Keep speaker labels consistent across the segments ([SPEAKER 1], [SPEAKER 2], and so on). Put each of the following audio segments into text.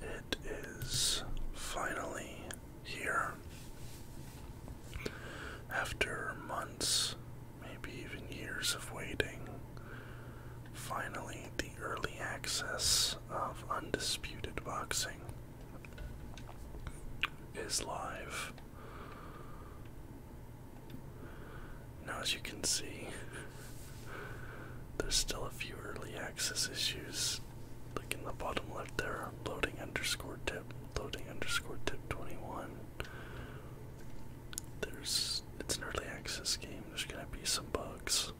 [SPEAKER 1] It is finally here. After months, maybe even years of waiting, finally the early access of Undisputed Boxing is live. Now, as you can see, there's still a few early access issues. Like in the bottom left there, loading underscore tip, loading underscore tip 21. There's, it's an early access game, there's gonna be some bugs.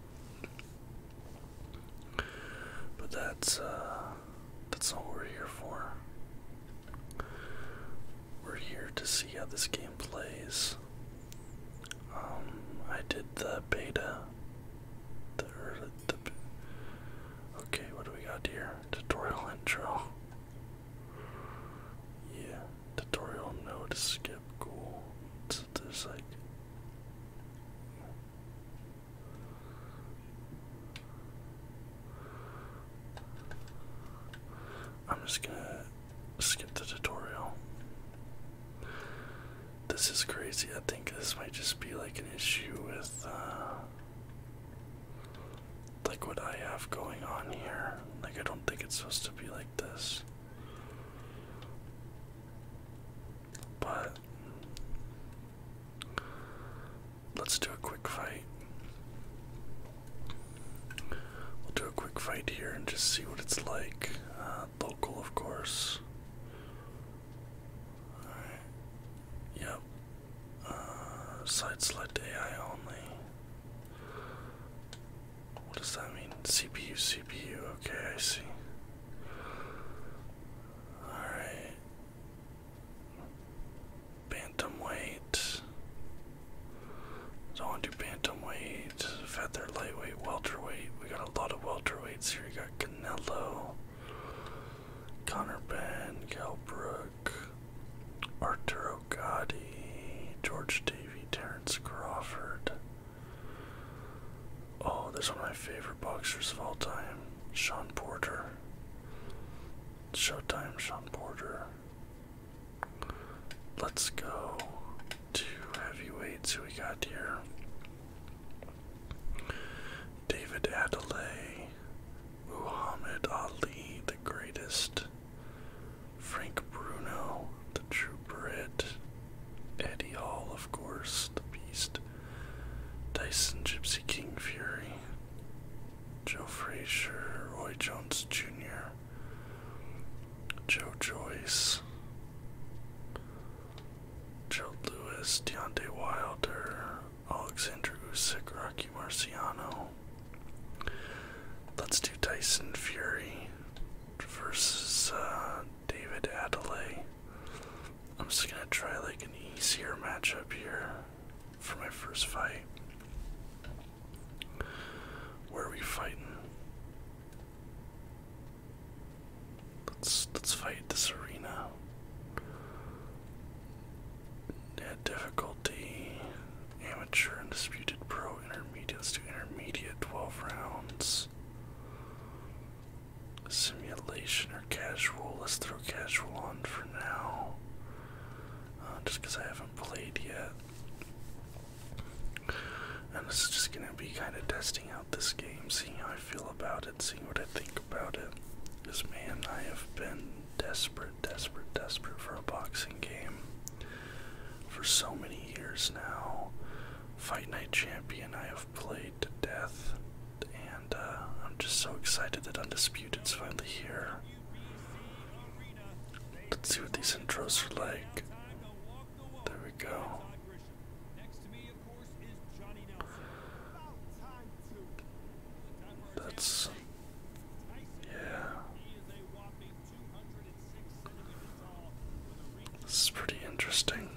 [SPEAKER 1] But that's, uh, that's not we're here for. We're here to see how this game plays. Um, I did the beta. okay, what do we got here? Tutorial intro. Yeah, tutorial no to skip. Cool. So there's like. I'm just gonna skip the tutorial. This is crazy. I think this might just be like an issue with uh like what I have going on here. Like I don't think it's supposed to be like this. But let's do a quick fight. We'll do a quick fight here and just see what it's like. Uh, local, of course. Alright. Yep. Uh, side select AI only. What does that mean? CPU, CPU. Okay, I see. Alright. Bantamweight. do I want to do bantamweight, feather, lightweight, welterweight. We got a lot of welterweight heavyweights here. You got Canelo, Conor Ben, Cal Brook, Arturo Gotti, George Davey, Terence Crawford. Oh, there's one of my favorite boxers of all time, Sean Porter. Showtime, Sean Porter. Let's go to heavyweights. Who we got here? David Adelaide, Muhammad Ali the Greatest, Frank Bruno the True Brit, Eddie Hall, of course, the Beast, Dyson Gypsy King Fury, Joe Frazier, Roy Jones Jr., Joe Joyce, Gerald Lewis, Deontay Wilder, Alexander Usyk, Rocky Marciano. Let's do Tyson Fury versus uh, David Adelaide. I'm just gonna try like an easier matchup here for my first fight. Where are we fighting? Let's let's fight this arena. difficulty amateur, undisputed, pro, intermediate. Let's do intermediate. Twelve rounds. Simulation or casual? Let's throw casual on for now. Uh, just because I haven't played yet and this just gonna be kind of testing out this game, seeing how I feel about it, seeing what I think about it. Because man, I have been desperate, desperate, desperate for a boxing game for so many years now. Fight Night Champion, I have played to death, and uh, I'm just so excited that Undisputed's finally here. Let's see what these intros are like. There we go. That's yeah. This is pretty interesting.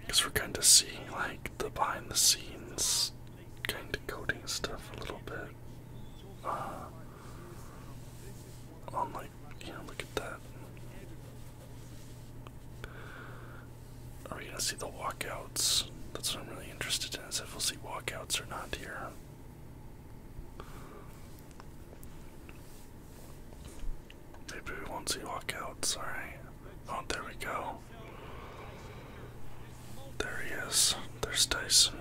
[SPEAKER 1] Because we're kind of seeing like the behind the scenes kind of coding stuff a little bit. Uh, on like yeah, look at that. Are we gonna see the walkouts? That's what I'm really interested in, is if we'll see walkouts or not here. Maybe we won't see walkouts, alright. Oh, there we go. There he is. There's Dyson.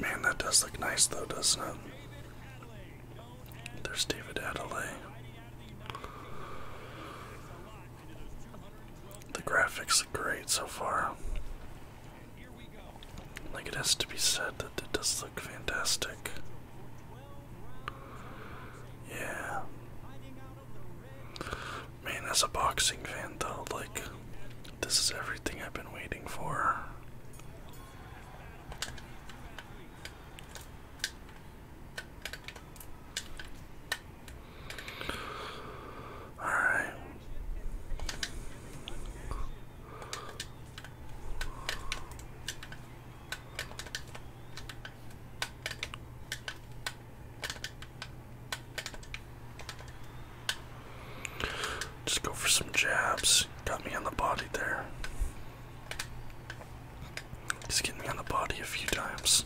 [SPEAKER 1] Man, that does look nice though, doesn't it? There's David Adelaide. The graphics look great so far. Like it has to be said that it does look fantastic. Yeah. Man, as a boxing fan, though, like, this is everything I've been waiting for. Alright. Just go for some jabs. Got me on the body there. Just get me on the body a few times.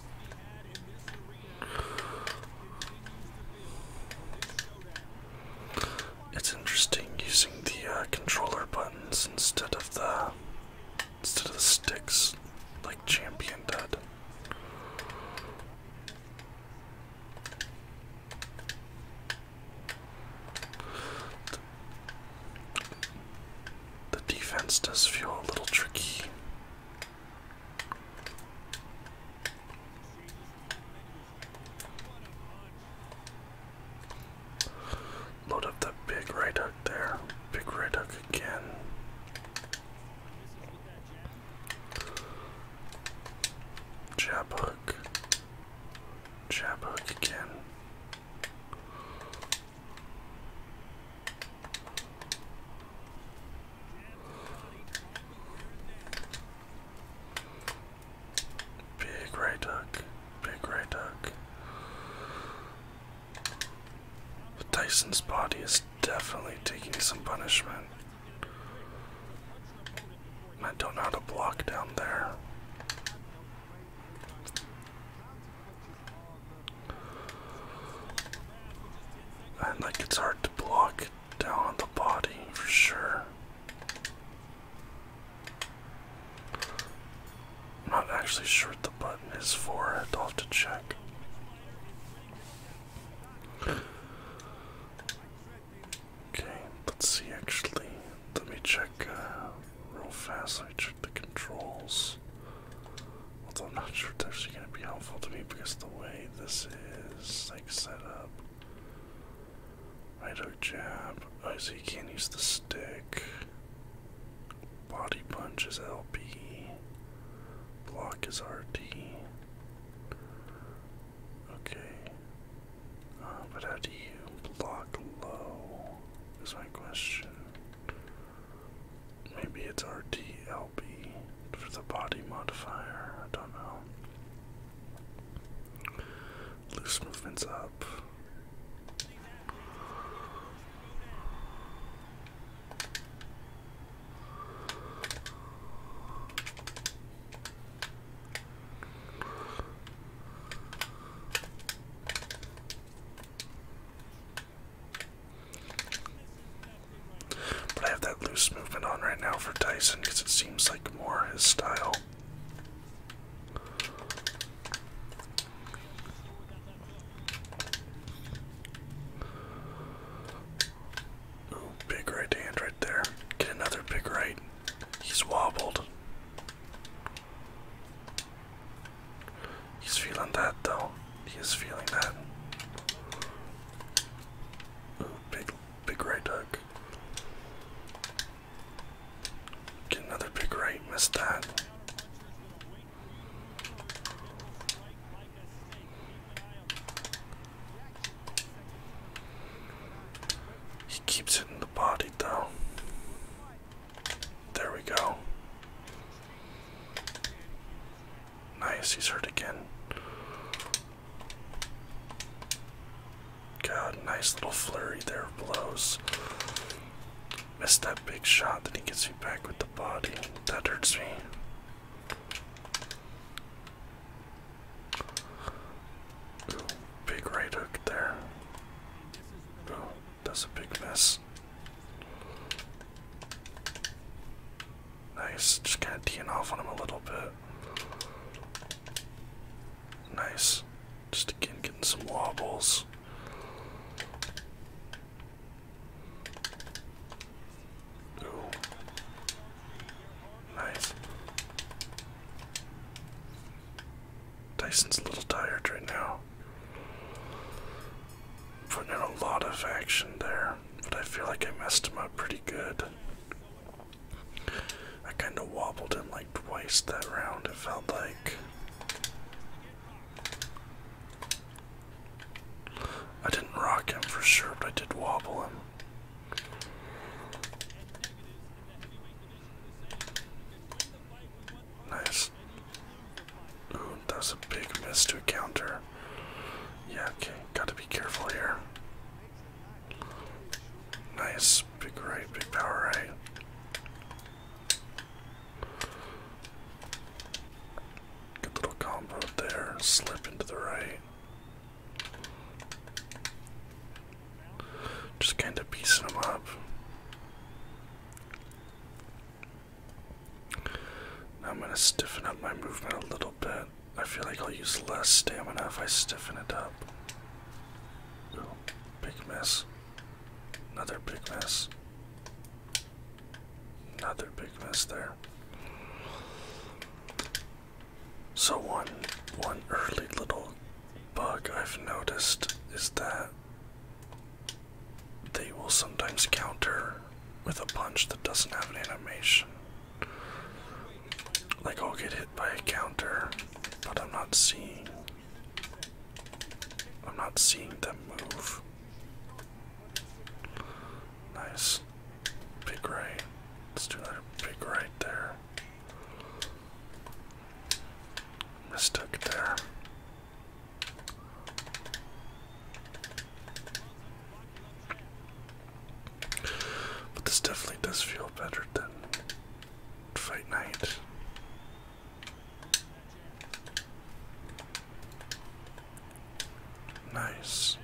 [SPEAKER 1] It's interesting using the uh, controller buttons instead of the instead of sticks like champion did. the defense does feel a little tricky. Load up the big red hook there. Big red hook again. Jab hook. Jab hook again. Big right hook, big right hook, Tyson's body is definitely taking some punishment. I don't know how to block down there. I like it's hard to block down on the body for sure. I'm not actually sure the button is for, I'll have to check. Okay, let's see actually. Let me check uh, real fast, I me check the controls. Although I'm not sure it's actually going to be helpful to me because the way this is like set up. I hook jab. Oh, so you can't use the stick. Body punch is LP. Block is RT. Okay. Uh, but how do you block low? Is my question. Maybe it's RT LP for the body modifier. I don't know. Loose movements up. But I have that loose movement on right now for Tyson because it seems like more his style big right hand right there. Get another big right. He's wobbled. He's feeling that though. He is feeling that. Ooh, big, big right hook. Get another big right. Missed that. He keeps hitting the body though. There we go. Nice, he's hurt again. God, nice little flurry there blows. Missed that big shot that he gets me back with the body. That hurts me. big right hook there. Ooh, that's a big mess. Nice, just kind of teeing off on him a little bit. Nice. Just again getting some wobbles. Nice. Tyson's a little tired right now. Putting in a lot of action there, but I feel like I messed him up pretty good. I kind of wobbled him like twice that round, it felt like. I didn't rock him for sure, but I did wobble him. Nice. Ooh, that a big miss to counter. Yeah, okay, gotta be careful here. Nice, big right, big power right. Good little combo there. Slip into the right. Just kind of piecing them up. Now I'm going to stiffen up my movement a little bit. I feel like I'll use less stamina if I stiffen it up. big mess. Another big mess. Another big mess there. So one one early little bug I've noticed is that they will sometimes counter with a punch that doesn't have an animation. Like I'll get hit by a counter, but I'm not seeing I'm not seeing them move. Nice. Big right. Let's do another big right there. Mistook there. But this definitely does feel better than Fight Night. Nice.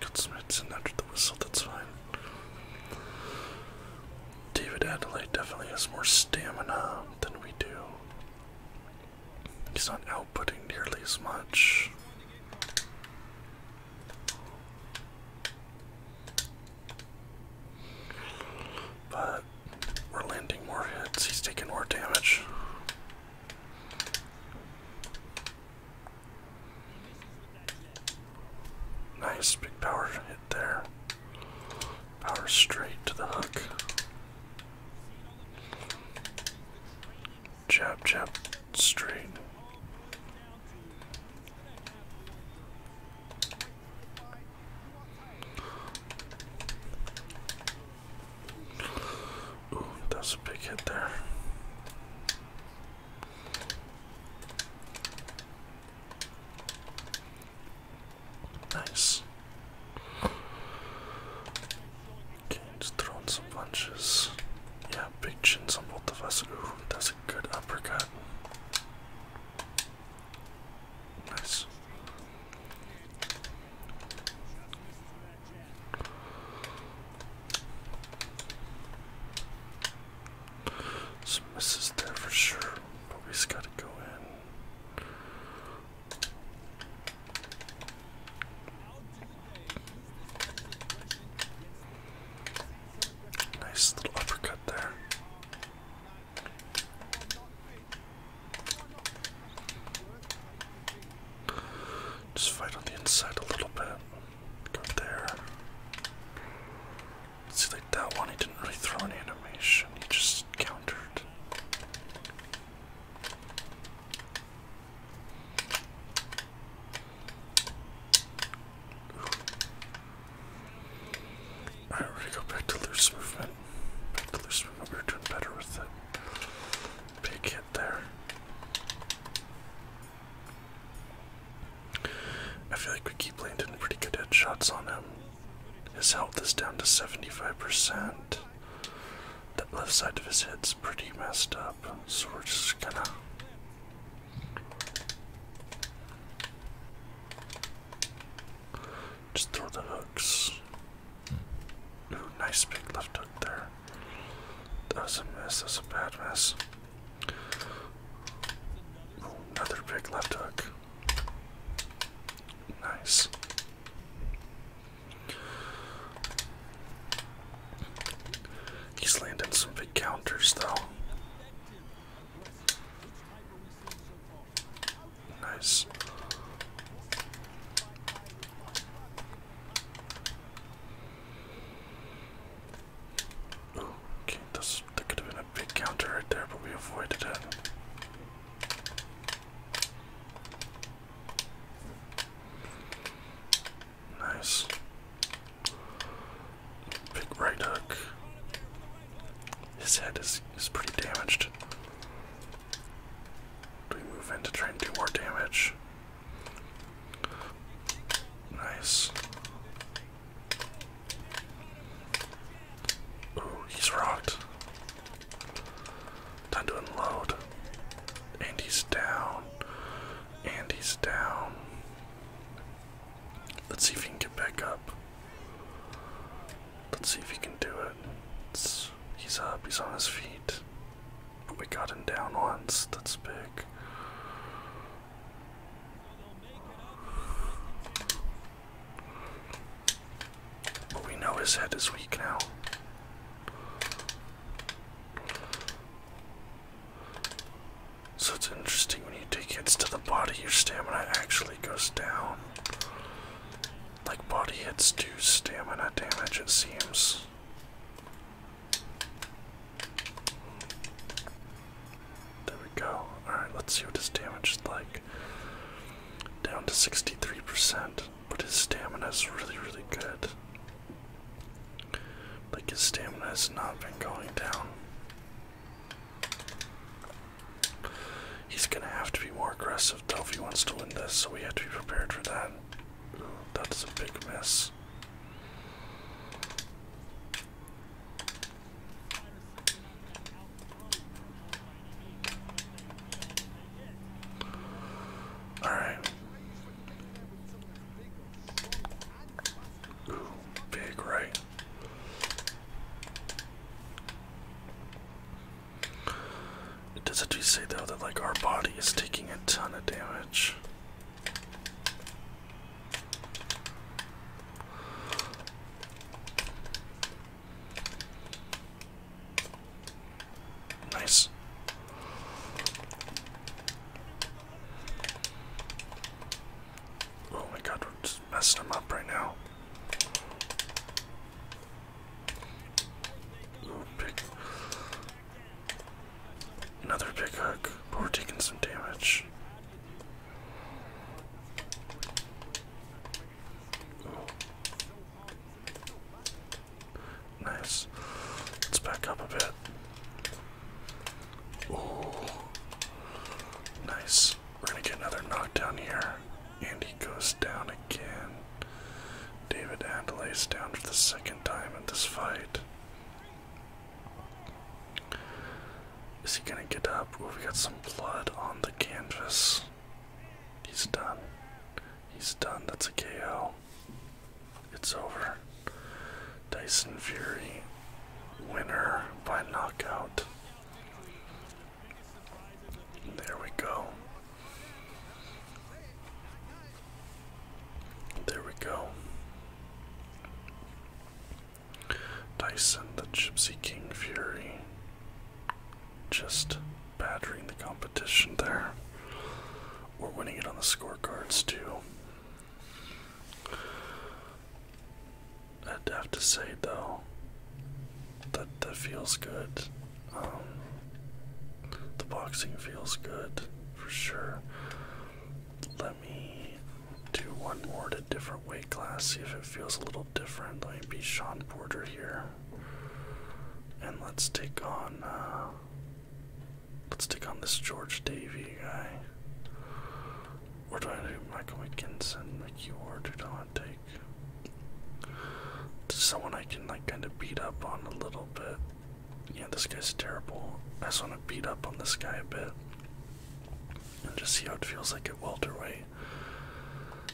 [SPEAKER 1] Got some hits under the whistle, that's fine. David Adelaide definitely has more stamina than we do. He's not outputting nearly as much. But we're landing more hits. He's taking more damage. Nice big power hit there. Power straight to the hook. Jab, jab, straight. that's a big hit there. Nice. Okay, just throwing some punches. Yeah, big chins on both of us. Ooh, that's a good uppercut. Nice. So misses there for sure, but we just gotta go in. Nice little uppercut there. Just fight on the inside a little bit. Go there. See, like that one, he didn't really throw any animation, he just countered. Alright, we're gonna go back to loose movement. Back to loose movement, we're doing better with that big hit there. I feel like we keep landing pretty good headshots on him. His health is down to 75% left. That left side of his head's pretty messed up, so we're just gonna. Just throw the hooks. nice big left hook there. That's a mess, That's a bad mess. another big left hook. Nice. He's landing some big counters though. Nice. Ooh, okay, this, could have been a big counter right there, but we avoided it. Nice. Big right hook. His head is, is pretty damaged. Do we move in to try and do more damage? Nice. Ooh, he's rocked. Time to unload. And he's down. And he's down. Let's see if he can get back up. Let's see if he can do it. he's up, he's on his feet. But we got him down once. That's big. But we know his head is weak now. So it's interesting when you take hits to the body, your stamina actually goes down. Like body hits do stamina damage, it seems. There we go. Alright, let's see what his damage is like. Down to 63%. But his stamina's really, really good. Like his stamina has not been going down. He's gonna have to be more aggressive though if he wants to win this, so we have to be prepared for that. that's a big mess. Alright. big right. It does actually say though that like our body is taking a ton of damage. Nice. Oh my god, we're just messing them up right now. Another big hook, but we're taking some damage. Nice. Let's back up a bit. Ooh. Nice. We're gonna get another knockdown here. And he goes down again. David is down for the second time in this fight. Is he gonna get up? Oh, we got some blood on the canvas. He's done. He's done. That's a KO. It's over. Dyson Fury, winner by knockout. There we go. There we go. Dyson the Gypsy King Fury just Badgering the competition there. We're winning it on the scorecards too. I'd have to say though that that feels good. Um, the boxing feels good for sure. Let me do one more to different weight class, see if it feels a little different. Let me be Sean Porter here. And let's take on uh, Let's take on this George Davy guy. Or do I do Michael McKinson, and Ward, who do I want to take? Someone I can like kind of beat up on a little bit. Yeah, this guy's terrible. I just want to beat up on this guy a bit. And just see how it feels like at welterweight.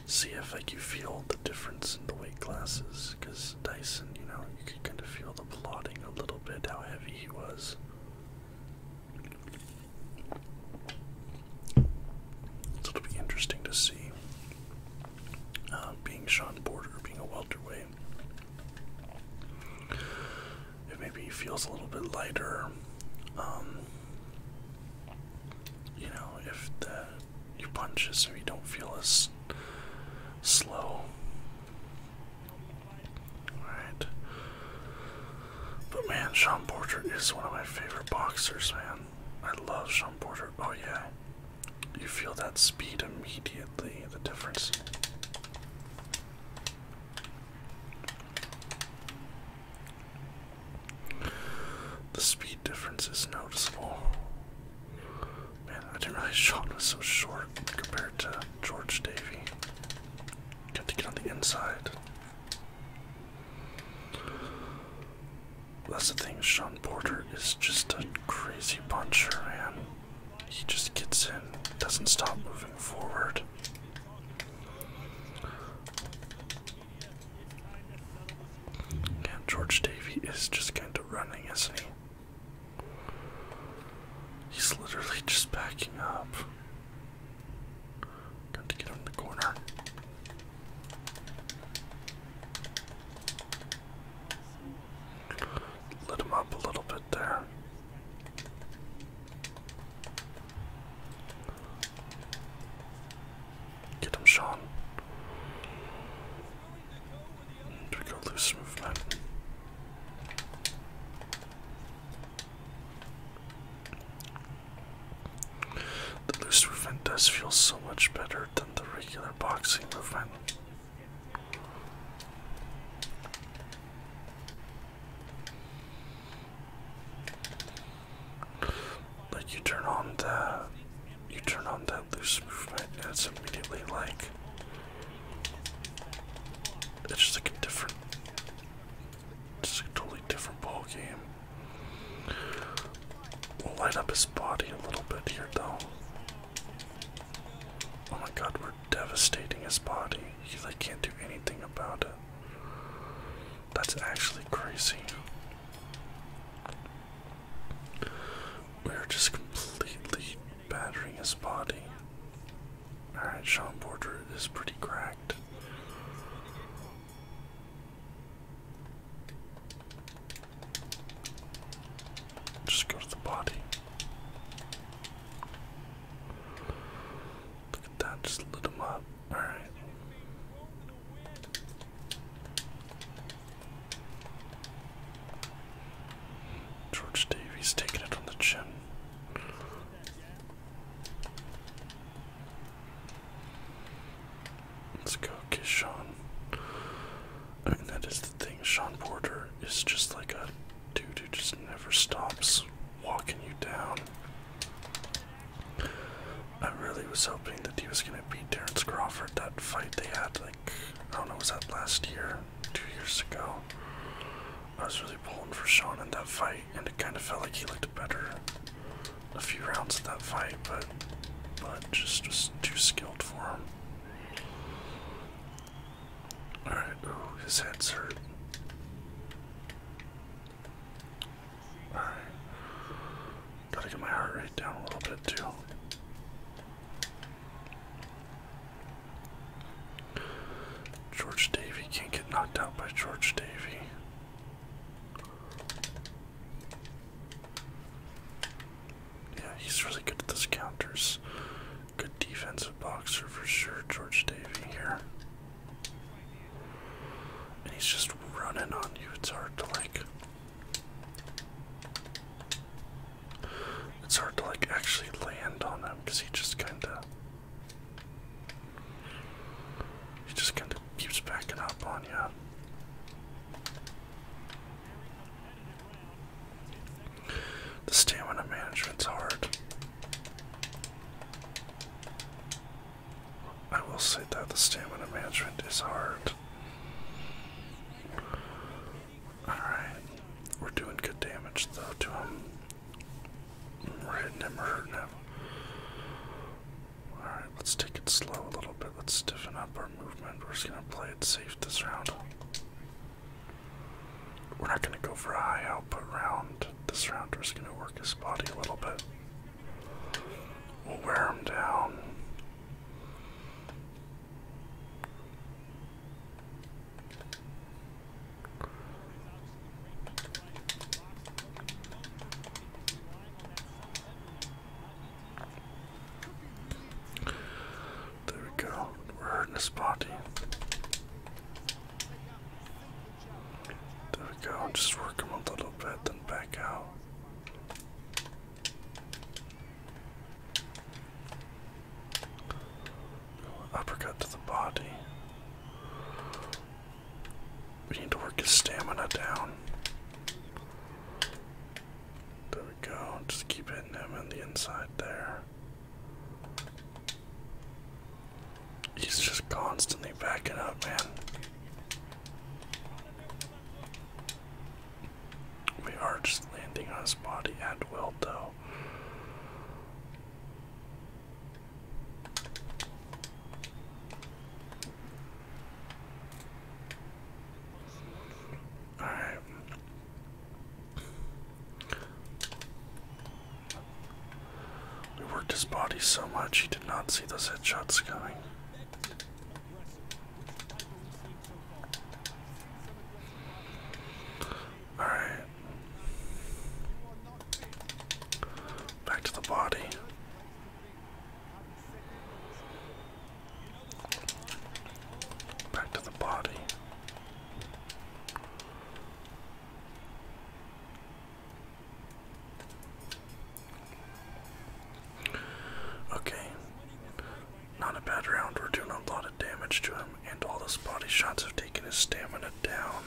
[SPEAKER 1] See if like you feel the difference in the weight classes, because Dyson, you know, you could kind of feel the plodding a little bit, how heavy he was. So it'll be interesting to see. Uh, being Sean Porter, being a welterweight. it maybe feels a little bit lighter. Um, you know, if the your punches so you don't feel as slow. Alright. But man, Sean Porter is one of my favorite boxers, man. I love Sean Porter. Oh yeah. You feel that speed immediately, the difference. The speed difference is noticeable. Man, I didn't realize Sean was so short compared to George Davy. Got to get on the inside. That's the thing, Sean Porter is just a crazy puncher, man. He just gets in, doesn't stop moving forward. And George Davy is just kind of running, isn't he? He's literally just backing up. Got to get him in the corner. Lit him up a little bit there. Get him, Sean. Do we go loose movement? The loose movement does feel so much better than the regular boxing movement. Like you turn on the you turn on that loose movement and it's immediately like it's just like a different just a totally different ball game. We'll light up his body a little bit here though. Oh my god, we're devastating his body. He like can't do anything about it. That's actually crazy. We're just completely battering his body. Alright, Sean Porter is pretty cracked. Just go to the body. Look at that, just lit him up. Alright. George Davis taking it on the chin. Let's go, okay, I mean, that is the thing. Sean Porter is just like a dude who just never stops walking you down. I really was hoping that he was going to beat Terrence Crawford that fight they had I don't know, was that last year, two years ago? I was really pulling for Sean in that fight, and it kind of felt like he looked better a few rounds of that fight, but but just was too skilled for him. Alright, ooh, his head's hurt. Alright. Gotta get my heart rate down a little bit too. George Davy can't get knocked out by George Davy. Yeah, he's really good at those counters. Good defensive boxer for sure, George Davy here. And he's just running on you. It's hard to like it's hard to like actually land on him because he just kind of he just kind of keeps backing up on you. The stamina management's hard. I will say that the stamina management is hard. Alright. We're doing good damage though to him. We're hitting him, we're hurting him. Alright, let's take it slow a little bit. Let's stiffen up our movement. We're just gonna play it safe this round. We're not gonna go for a high output round. This round we're just gonna work his body a little bit. We'll wear him down. There we go. We're hurting the body. There we go. Just work him a little bit, then back out uppercut to the body. We need to work his stamina down. There we go. Just keep hitting him on the inside there. He's just constantly backing up, man. We are just landing on his body at will, though. Alright. We worked his body so much he did not see those headshots coming. All right. Back to the body. Back to the body. Okay. Not a bad round, we're doing a lot of damage to him, and all those body shots have taken his stamina down.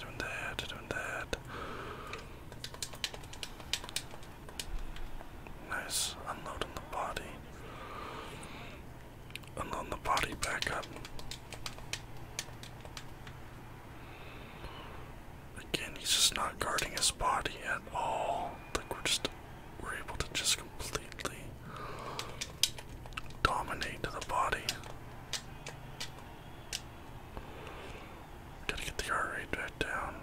[SPEAKER 1] Doing that, doing that. Nice, unloading the body. Unloading the body back up. Again, he's just not guarding his body at all. Like we're just we're able to just completely dominate the body. Gotta get the heart rate back down.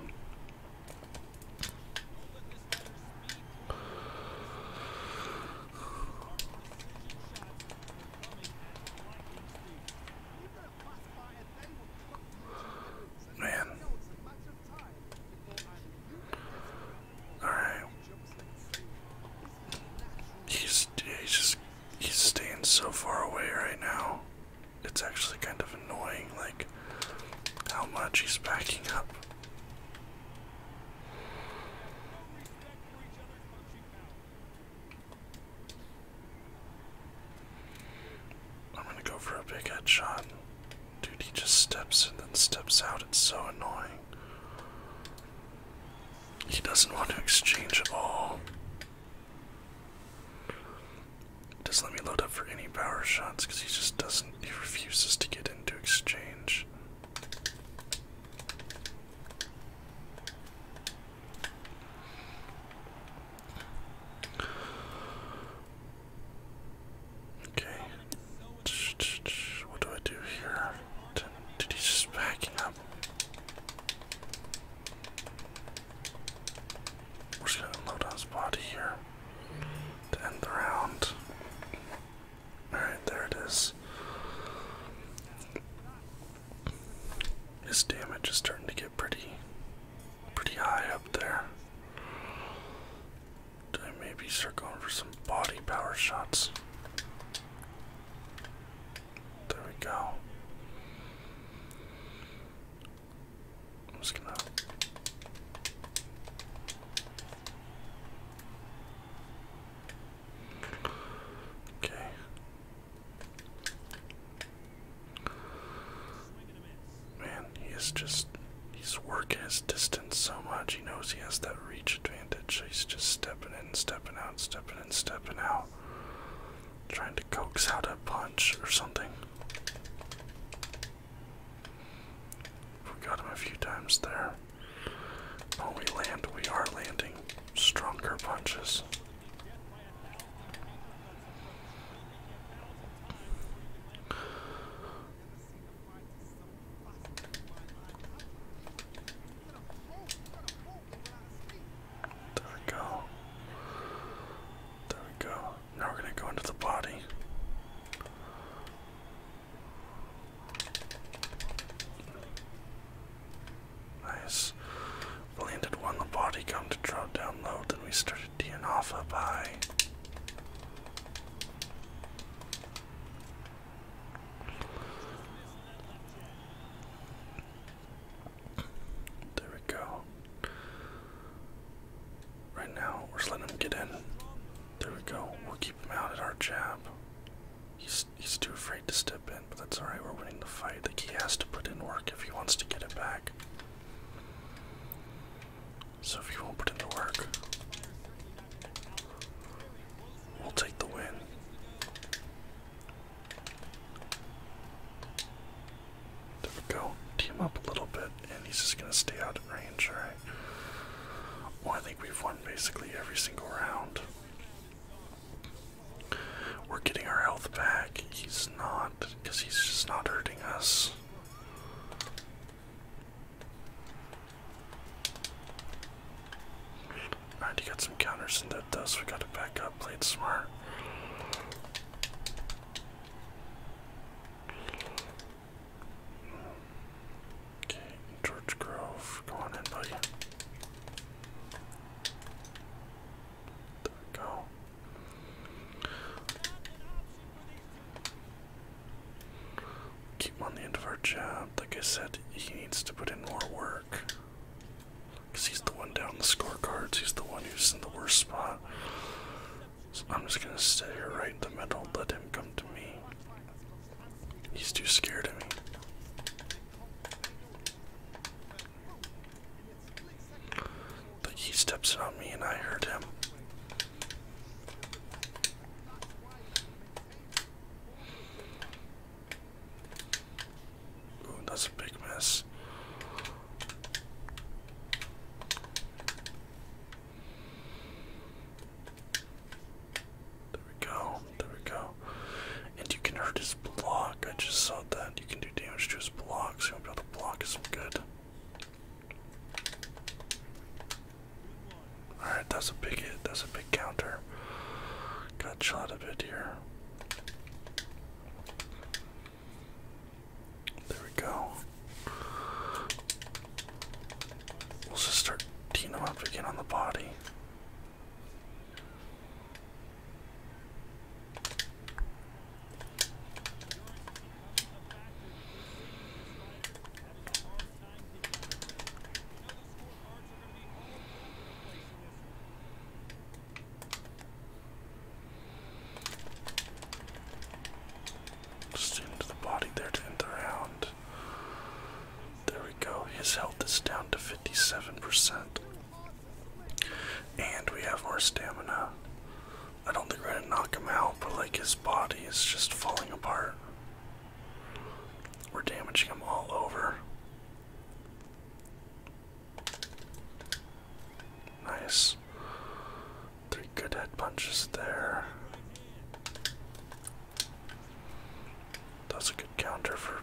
[SPEAKER 1] Man. Alright. He's he's just he's staying so far away right now. It's actually kind of annoying like how much he's backing up. I'm gonna go for a big head Dude, he just steps and then steps out. It's so annoying. He doesn't want to exchange at all. Just let me load up for any power shots because he just doesn't, he refuses to get into exchange. Okay. What do I do here? Did, he just back up? We're just gonna load on his body here to end the round. Alright, there it is. His damage is starting to get pretty pretty high up there. I may be going for some body power shots. There we go. Okay. Man, he is just, he's working his distance so much. He knows he has that reach advantage. he's just stepping in, stepping out, stepping in, stepping out. Trying to coax out a punch or something. We got him a few times there. Oh, we land. We are landing stronger punches. There we go. There we go. Now we're going to go into the body. Nice. We one, the body come to drop down low, then we started teeing off up high. There we go. Right now, we're just letting him get in. There we go. We'll keep him out at our jab. He's he's too afraid to step in, but that's alright, we're winning the fight. The key has to put in work if he wants to get it back. So if he won't put in the work, we'll take the win. There we go. Team up a little bit, and he's just gonna stay out of range, right? Well, I think we've won basically every single round. We're getting our health back. He's not, because he's just not hurting us. Alright, he got some counters in that dust. We got to back up, played smart. Okay, George Grove, go on in, buddy. There we go. Keep on the end of our jab. Like I said, he needs to put in more work. Because he's the one down the scorecards, he's the one who's in the worst spot. So I'm just gonna stay here right in the middle, let him come to me. He's too scared of me he steps on me and I hurt him. that's a big mess. There we go. There we go. And you can hurt his block. I just saw that. You can do damage to his block, so you'll not be able to block is good. Alright, that's a big hit. That's a big counter. Got shot a bit here. There we go. We'll just start teeing him up again on the body. Just into the body there to end the round. There we go. His health is down to 57%. And we have more stamina. I don't think we're gonna knock him out, but like his body is just falling apart. We're damaging him all over. Nice. Three good head punches there. That's a good counter for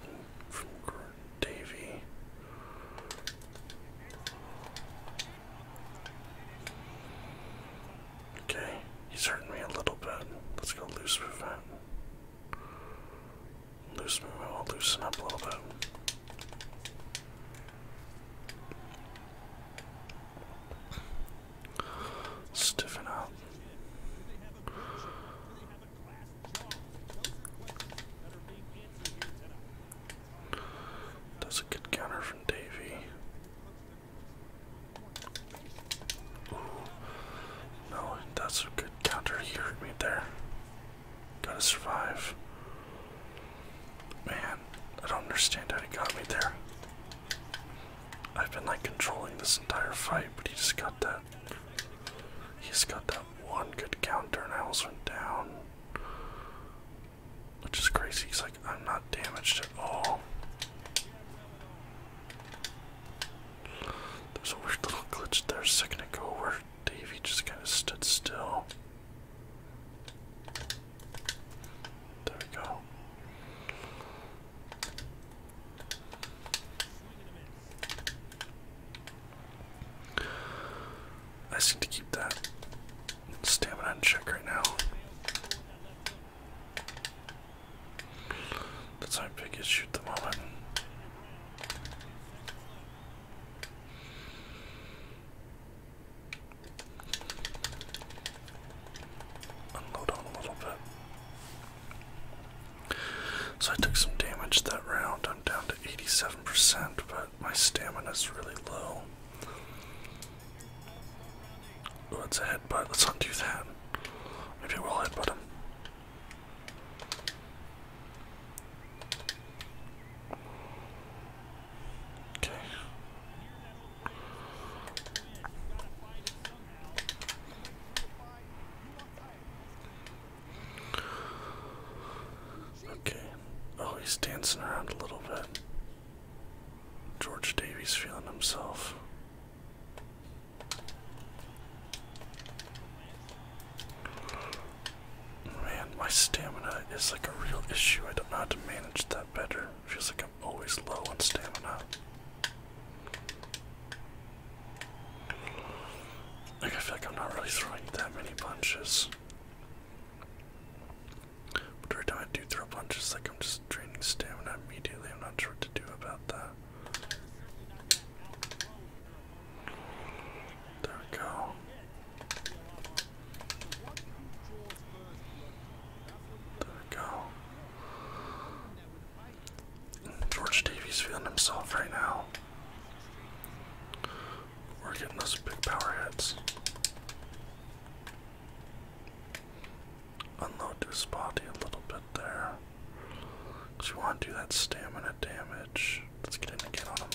[SPEAKER 1] Davy. Okay, he's hurting me a little bit. Let's go loose movement. Loose movement will loosen up a little bit. Stiffen up. That's a good counter from Davy. Ooh. No, that's a good counter. He hurt me there. Gotta survive. Man, I don't understand how he got me there. I've been like controlling this entire fight, but he just got that. He's got that one good counter and I also went down. Which is crazy. He's like, I'm not damaged at all. There's a weird little glitch there a second ago where Davey just kind of stood still. There we go. I just need to keep that stamina in check right now. That's my big issue at the moment. Unload on a little bit. So I took some damage that round. I'm down to 87%, but my stamina is really low. Oh, it's headbutt. Let's undo that. Maybe we'll headbutt him. Okay. Okay. Oh, he's dancing around a little bit. George Davies feeling himself. Man, my stamina is like a real issue. I don't know how to manage that better. Feels like I'm always low on stamina. Like I feel like I'm not really throwing that many punches. But every time I do throw punch? Just like I'm just draining stamina immediately. I'm not sure what to do about that. There we go. There we go. George Davis feeling himself right now. We're getting those big power hits. Unload this body a little bit there. Because want to do that stamina damage. Let's get in again on him.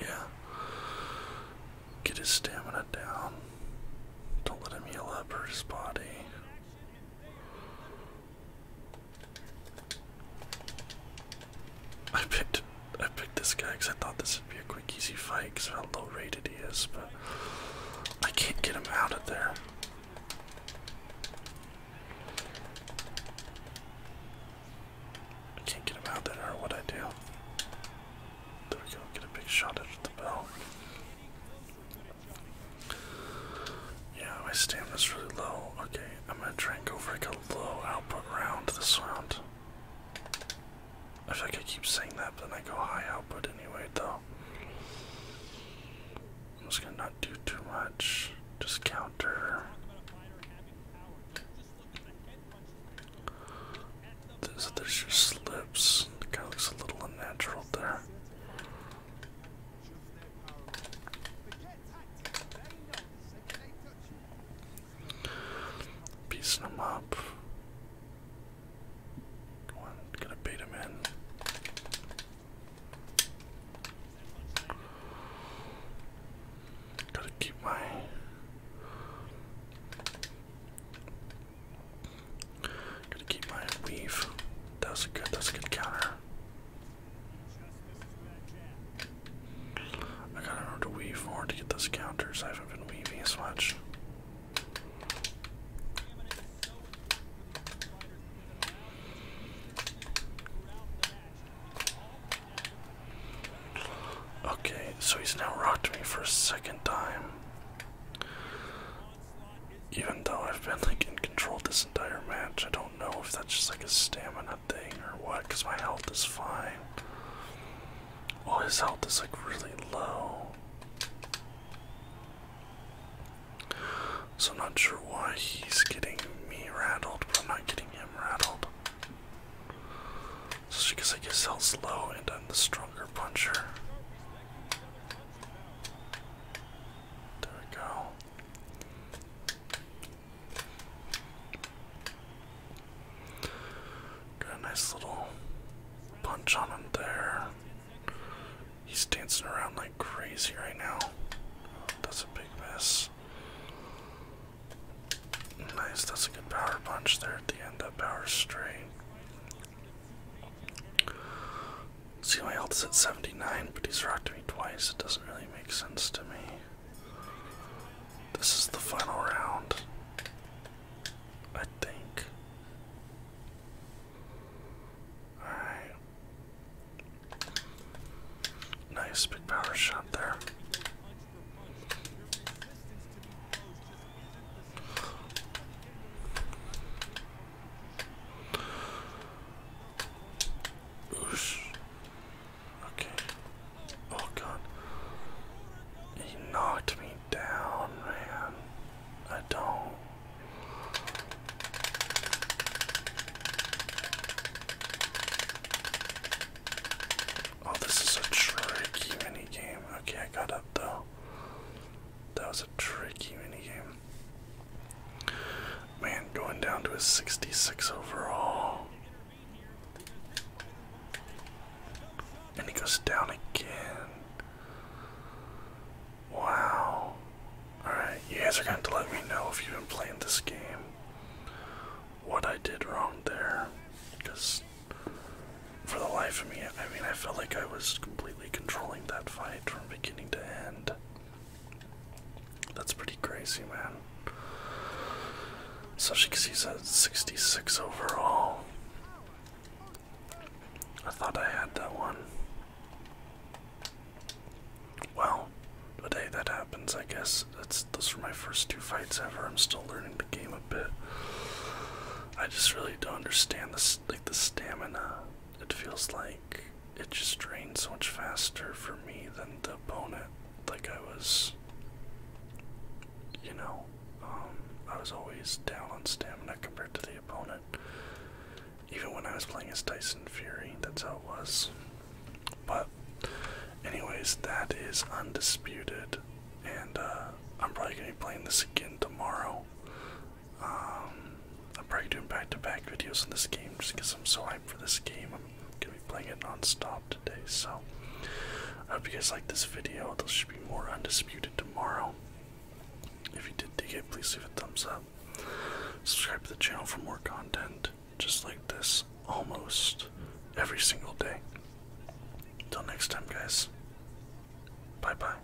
[SPEAKER 1] Yeah. Get his stamina down. Don't let him heal up or his I picked I picked this guy because I thought this would be a quick, easy fight because how low rated he is, but I can't get him out of there. I can't get him out of there, or what I do. There we go, get a big shot at the bell. Yeah, my stamina's really low. Okay, I'm gonna try and go for like a low output round this round. I feel like I keep saying that, but then I go high output anyway, though. I'm just gonna not do too much. Just counter. This, there's your slips. Kind guy looks a little unnatural there. Piecing him up. Come on, gonna bait him in. Gotta keep my Gotta keep my weave. That a good that's a good counter. I gotta remember to weave more to get those counters. I haven't been weaving as much. Okay, so he's now rocked me for a second time even though I've been like in control this entire match, I don't know if that's just like a stamina thing or what, because my health is fine. Oh, his health is like really low. So I'm not sure why he's getting me rattled, but I'm not getting him rattled. Just because I guess health's low and I'm the stronger puncher. There we go. Got a nice little punch on him there. He's dancing around like crazy right now. that's a big miss. Nice, that's a good power punch there at the end, of power straight. See, my health is at 79, but he's rocked me twice. It doesn't really make sense to me. This is the final round. I think. Alright. Nice big power shot there. Oosh. Okay. Oh god. He knocked me down, man. I don't. Oh, this is a tricky mini game. Okay, I got up though. That was a tricky minigame. Man, going down to a 66 overall. And he goes down again. Wow. Alright, you guys are going to, to let me know if you've been playing this game. What I did wrong there. Because for the life of me, I mean, I felt like I was completely controlling that fight from beginning to end. That's pretty crazy, man. So she sees at 66 overall. I thought I had that one. Well, but hey, that happens, I guess. That's those were my first two fights ever. I'm still learning the game a bit. I just really don't understand this, like the stamina it feels like it just drains so much faster for me than the opponent. Like I was, you know, um, I was always down on stamina compared to the opponent. Even when I was playing as Tyson Fury, that's how it was. But, anyways, that is undisputed, and uh, I'm probably gonna be playing this again tomorrow. Um, I'm probably doing back-to-back videos in this game just because I'm so hyped for this game. I'm gonna be playing it non-stop today, so I hope you guys like this video. There should be more Undisputed tomorrow. If you did dig it, please leave a thumbs up. Subscribe to the channel for more content just like this almost every single day. Until next time, guys. Bye bye.